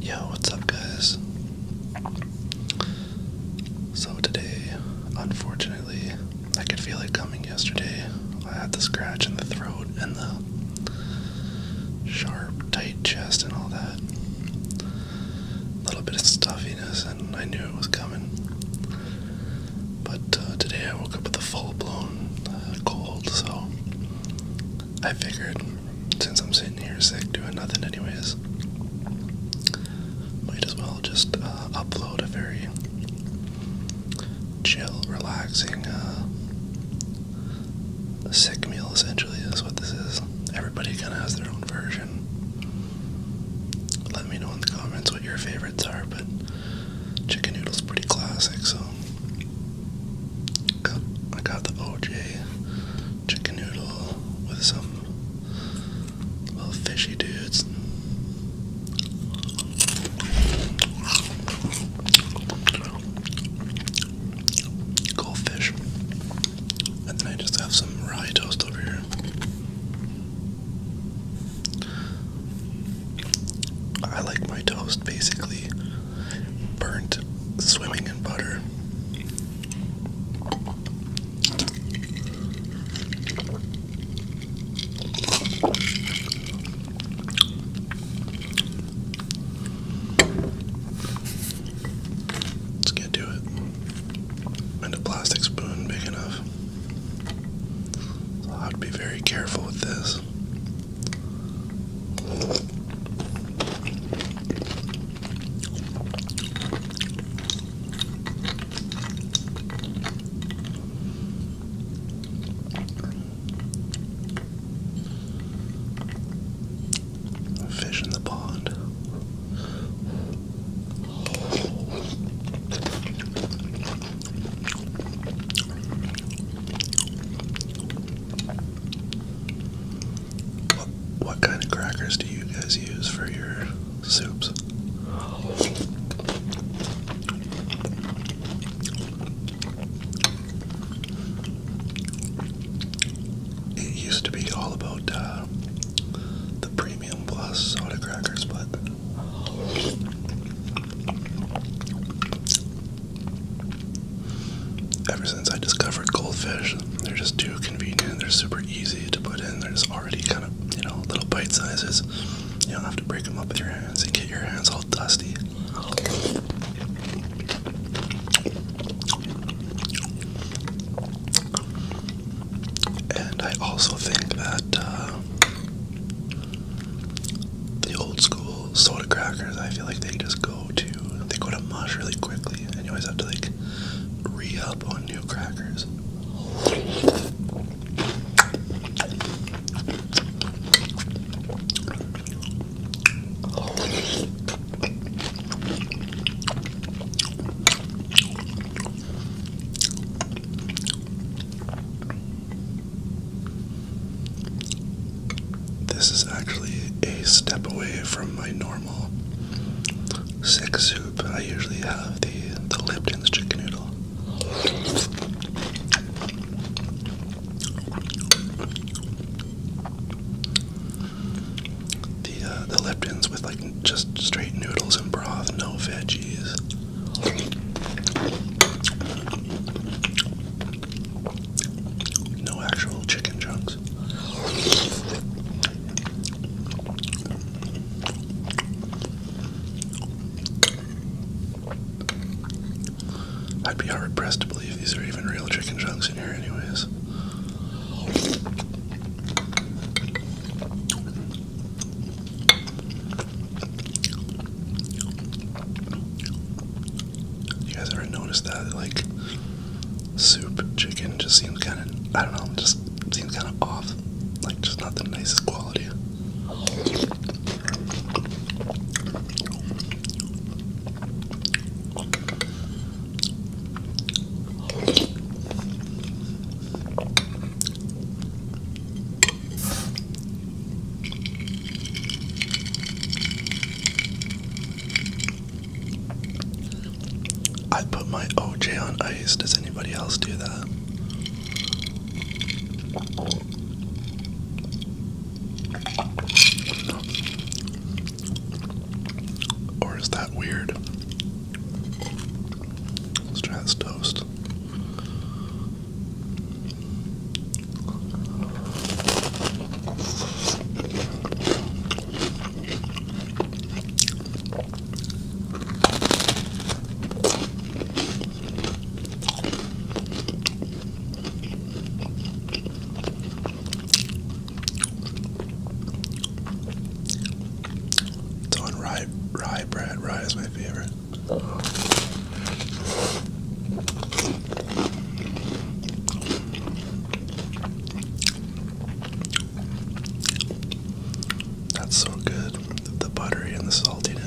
Yo, what's up, guys? So, today, unfortunately, I could feel it coming yesterday. I had the scratch in the throat and the sharp, tight chest and all that. A little bit of stuffiness, and I knew it was coming. But uh, today I woke up with a full blown uh, cold, so I figured since I'm sitting here sick doing nothing, anyways, might as well just uh, upload a very chill, relaxing, sick meal essentially is what this is. Everybody kind of has their own version. Let me know in the comments what your favorite favorites are, but chicken noodle's pretty classic, so I got the OJ chicken noodle with some little fishy dudes. Goldfish. And then I just have some rye toast over here. I like my toast basically burnt, swimming in butter. Let's get to it. And a plastic spoon big enough. I have be very careful with this. Fish in the pond. What, kind of crackers do you guys use for your soups? It used to be all about uh, the premium plus soda crackers, but Ever since I discovered goldfish, they're just too convenient. They're super easy to put in. They're just already kind of, you know, little bite sizes. You don't have to break them up with your hands and get your hands all dusty. And I also think that uh, the old school soda crackers, I feel like they just go to they go to mush really quickly, and you always have to like re up on new crackers. This is actually a step away from my normal sick soup. I usually have the, the Lipton's chicken noodle. The, uh, the Lipton's with like just straight noodles and broth, no veggies. No actual chicken chunks. I'd be hard pressed to believe these are even real chicken chunks in here, anyways. You guys ever noticed that? Like, soup chicken just seems kind of, I don't know, just seems kind of off. Like, just not the nicest quality. I put my OJ on ice. Does anybody else do that? Or is that weird? Let's try this toast. It's on rye, rye bread. Rye is my favorite. That's so good. The buttery and the saltiness.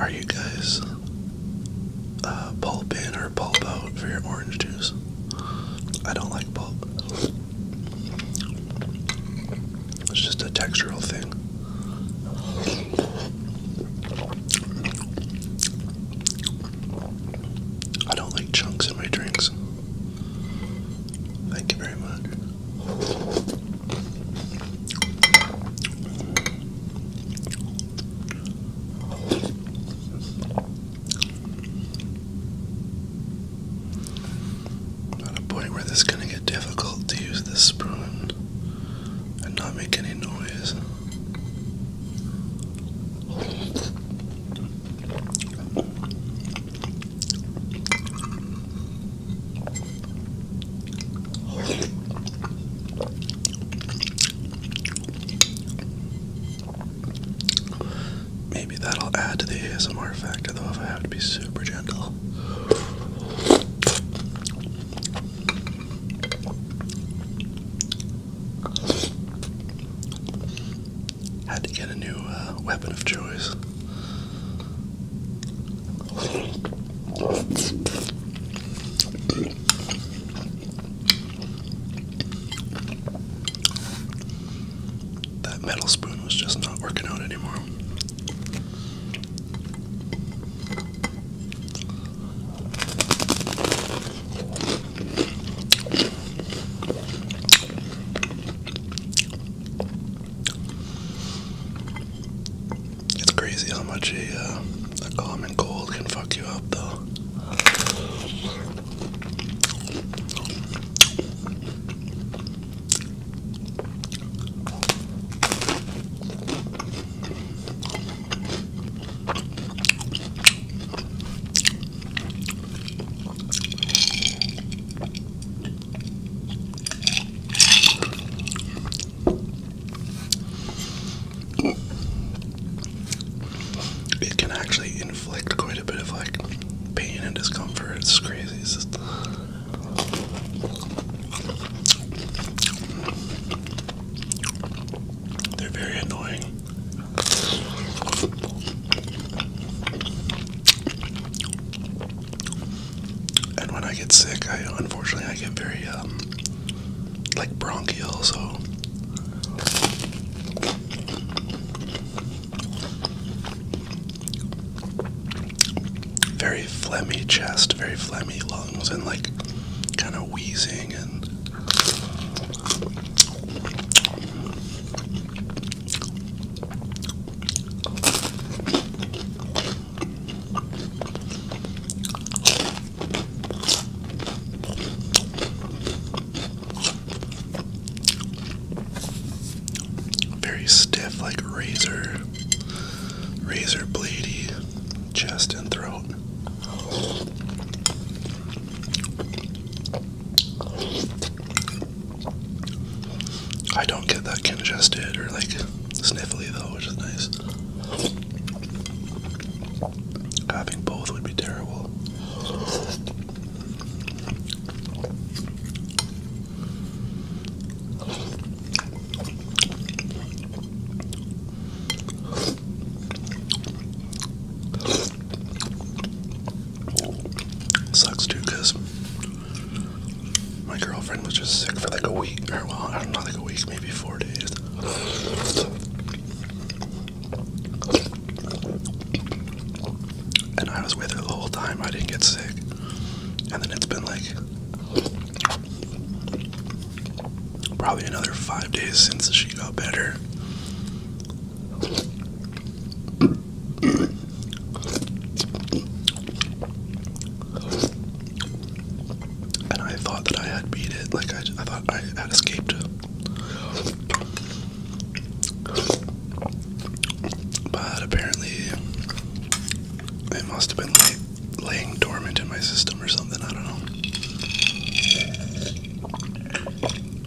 Are you guys uh, pulp in or pulp out for your orange juice? I don't like pulp. It's just a textural thing. I don't like chunks in my drinks. Thank you very much. At a point where this is going to get difficult to use this spoon and not make any noise. Maybe that'll add to the ASMR factor, though, if I have to be super gentle had to get a new uh, weapon of choice. That metal spoon was just not working out anymore. It's crazy how much a, uh, a common cold can fuck you up, though. It can actually inflict quite a bit of like pain and discomfort. It's crazy. They're very annoying. And when I get sick, I unfortunately I get very um, like bronchial, so very phlegmy chest, very phlegmy lungs, and like kind of wheezing and very stiff, like razor, razor bladey chest and throat. I don't get that congested or like sniffly though, which is nice. Having both would be terrible. Sucks too, cause my girlfriend was just sick for like a week, or well, I don't know, like a week, maybe four days. And I was with her the whole time. I didn't get sick, and then it's been like probably another five days since she got better. And I thought that I had beat it, like I, I thought I had escaped. But apparently, it must have been like laying dormant in my system or something, I don't know.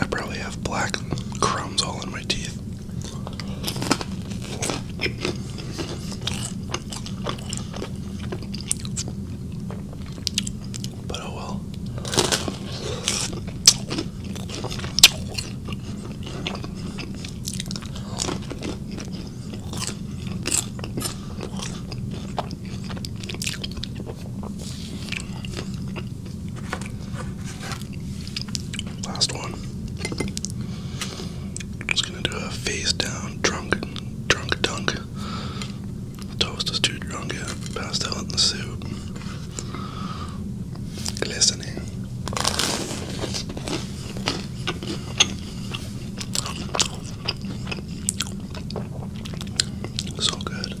I probably have black crumbs all in my teeth. But oh well. Last one. I'm just gonna do a face down drunk, drunk dunk. Toast is too drunk, yeah. Pastel in the soup. Glistening. So good.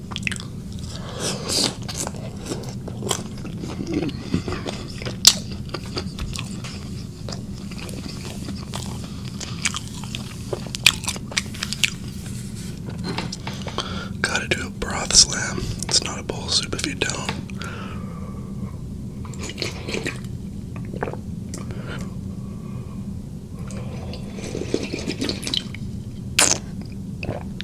Gotta do a broth slam. It's not a bowl soup if you don't.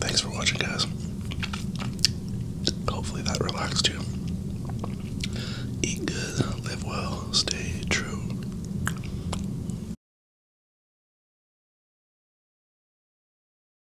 Thanks for watching, guys. Hopefully that relaxed you. Eat good, live well, stay true.